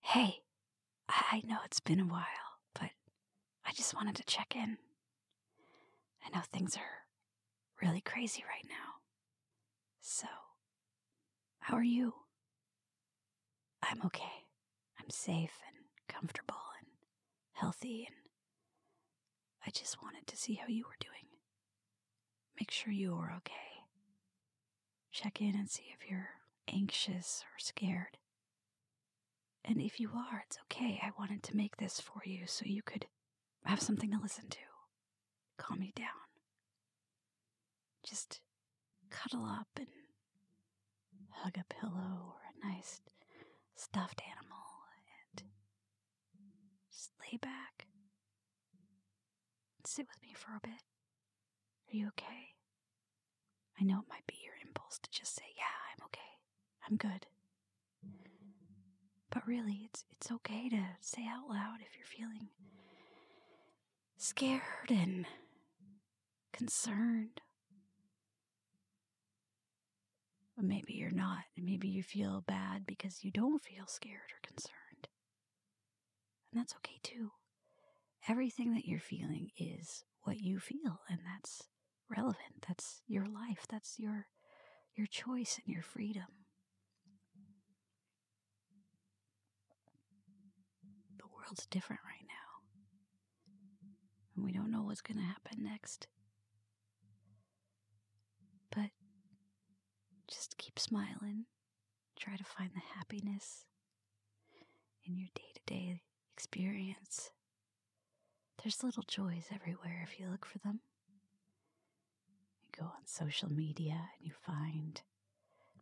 Hey, I know it's been a while, but I just wanted to check in. I know things are really crazy right now. So, how are you? I'm okay. I'm safe and comfortable and healthy, and I just wanted to see how you were doing. Make sure you are okay check in and see if you're anxious or scared. And if you are, it's okay. I wanted to make this for you so you could have something to listen to. Calm you down. Just cuddle up and hug a pillow or a nice stuffed animal and just lay back sit with me for a bit. Are you okay? I know it might be your impulse to just say, Yeah, I'm okay. I'm good. But really, it's, it's okay to say out loud if you're feeling scared and concerned. But maybe you're not. Maybe you feel bad because you don't feel scared or concerned. And that's okay too. Everything that you're feeling is what you feel, and that's relevant. That's your life. That's your your choice and your freedom. The world's different right now. And we don't know what's going to happen next. But just keep smiling, Try to find the happiness in your day to day experience. There's little joys everywhere if you look for them. You go on social media and you find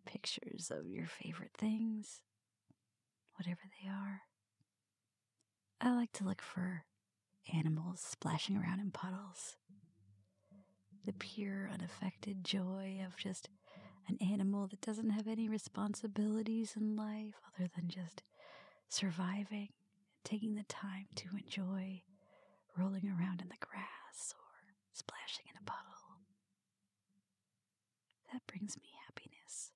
pictures of your favorite things, whatever they are. I like to look for animals splashing around in puddles the pure, unaffected joy of just an animal that doesn't have any responsibilities in life other than just surviving, taking the time to enjoy rolling around in the grass or splashing in a puddle. That brings me happiness.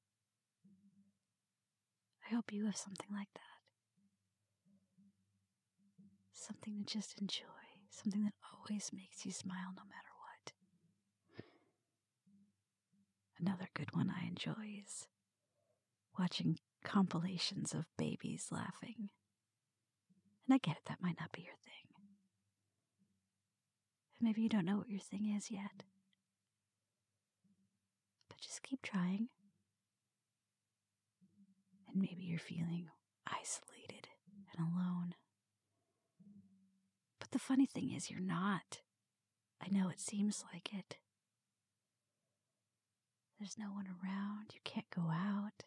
I hope you have something like that something to just enjoy, something that always makes you smile no matter what. Another good one I enjoy is watching compilations of babies laughing. And I get it, that might not be your thing. maybe you don't know what your thing is yet. But just keep trying. And maybe you're feeling isolated and alone. But the funny thing is, you're not. I know it seems like it. There's no one around, you can't go out.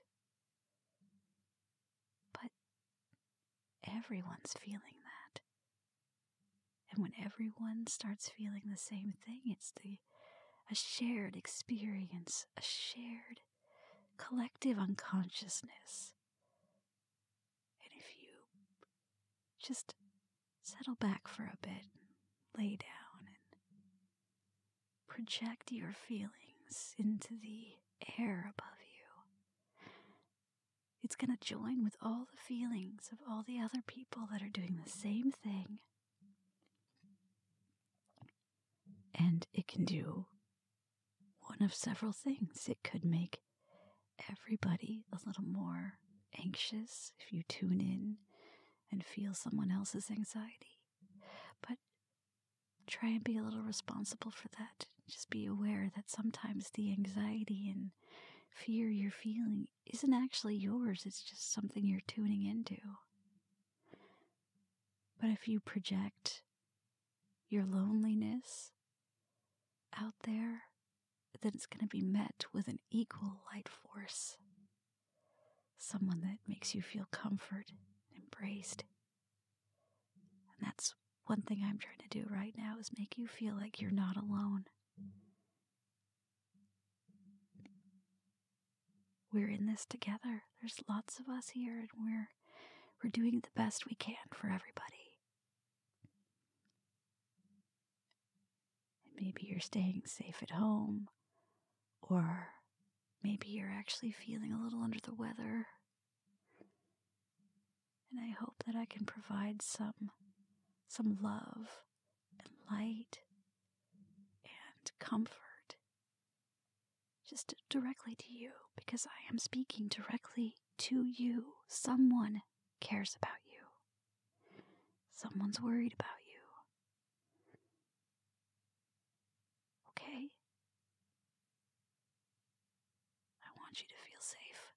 But everyone's feeling that. And when everyone starts feeling the same thing, it's the a shared experience, a shared collective unconsciousness. And if you just settle back for a bit, lay down, and project your feelings into the air above you, it's going to join with all the feelings of all the other people that are doing the same thing. And it can do one of several things. It could make everybody a little more anxious if you tune in and feel someone else's anxiety. But try and be a little responsible for that. Just be aware that sometimes the anxiety and fear you're feeling isn't actually yours, it's just something you're tuning into. But if you project your loneliness out there, then it's going to be met with an equal light force. Someone that makes you feel comfort, embraced. And that's one thing I'm trying to do right now is make you feel like you're not alone we're in this together. There's lots of us here and we're we're doing the best we can for everybody. maybe you're staying safe at home or maybe you're actually feeling a little under the weather. And I hope that I can provide some some love and light and comfort just directly to you, because I am speaking directly to you. Someone cares about you, someone's worried about you. Okay? I want you to feel safe.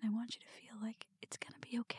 And I want you to feel like it's gonna be okay.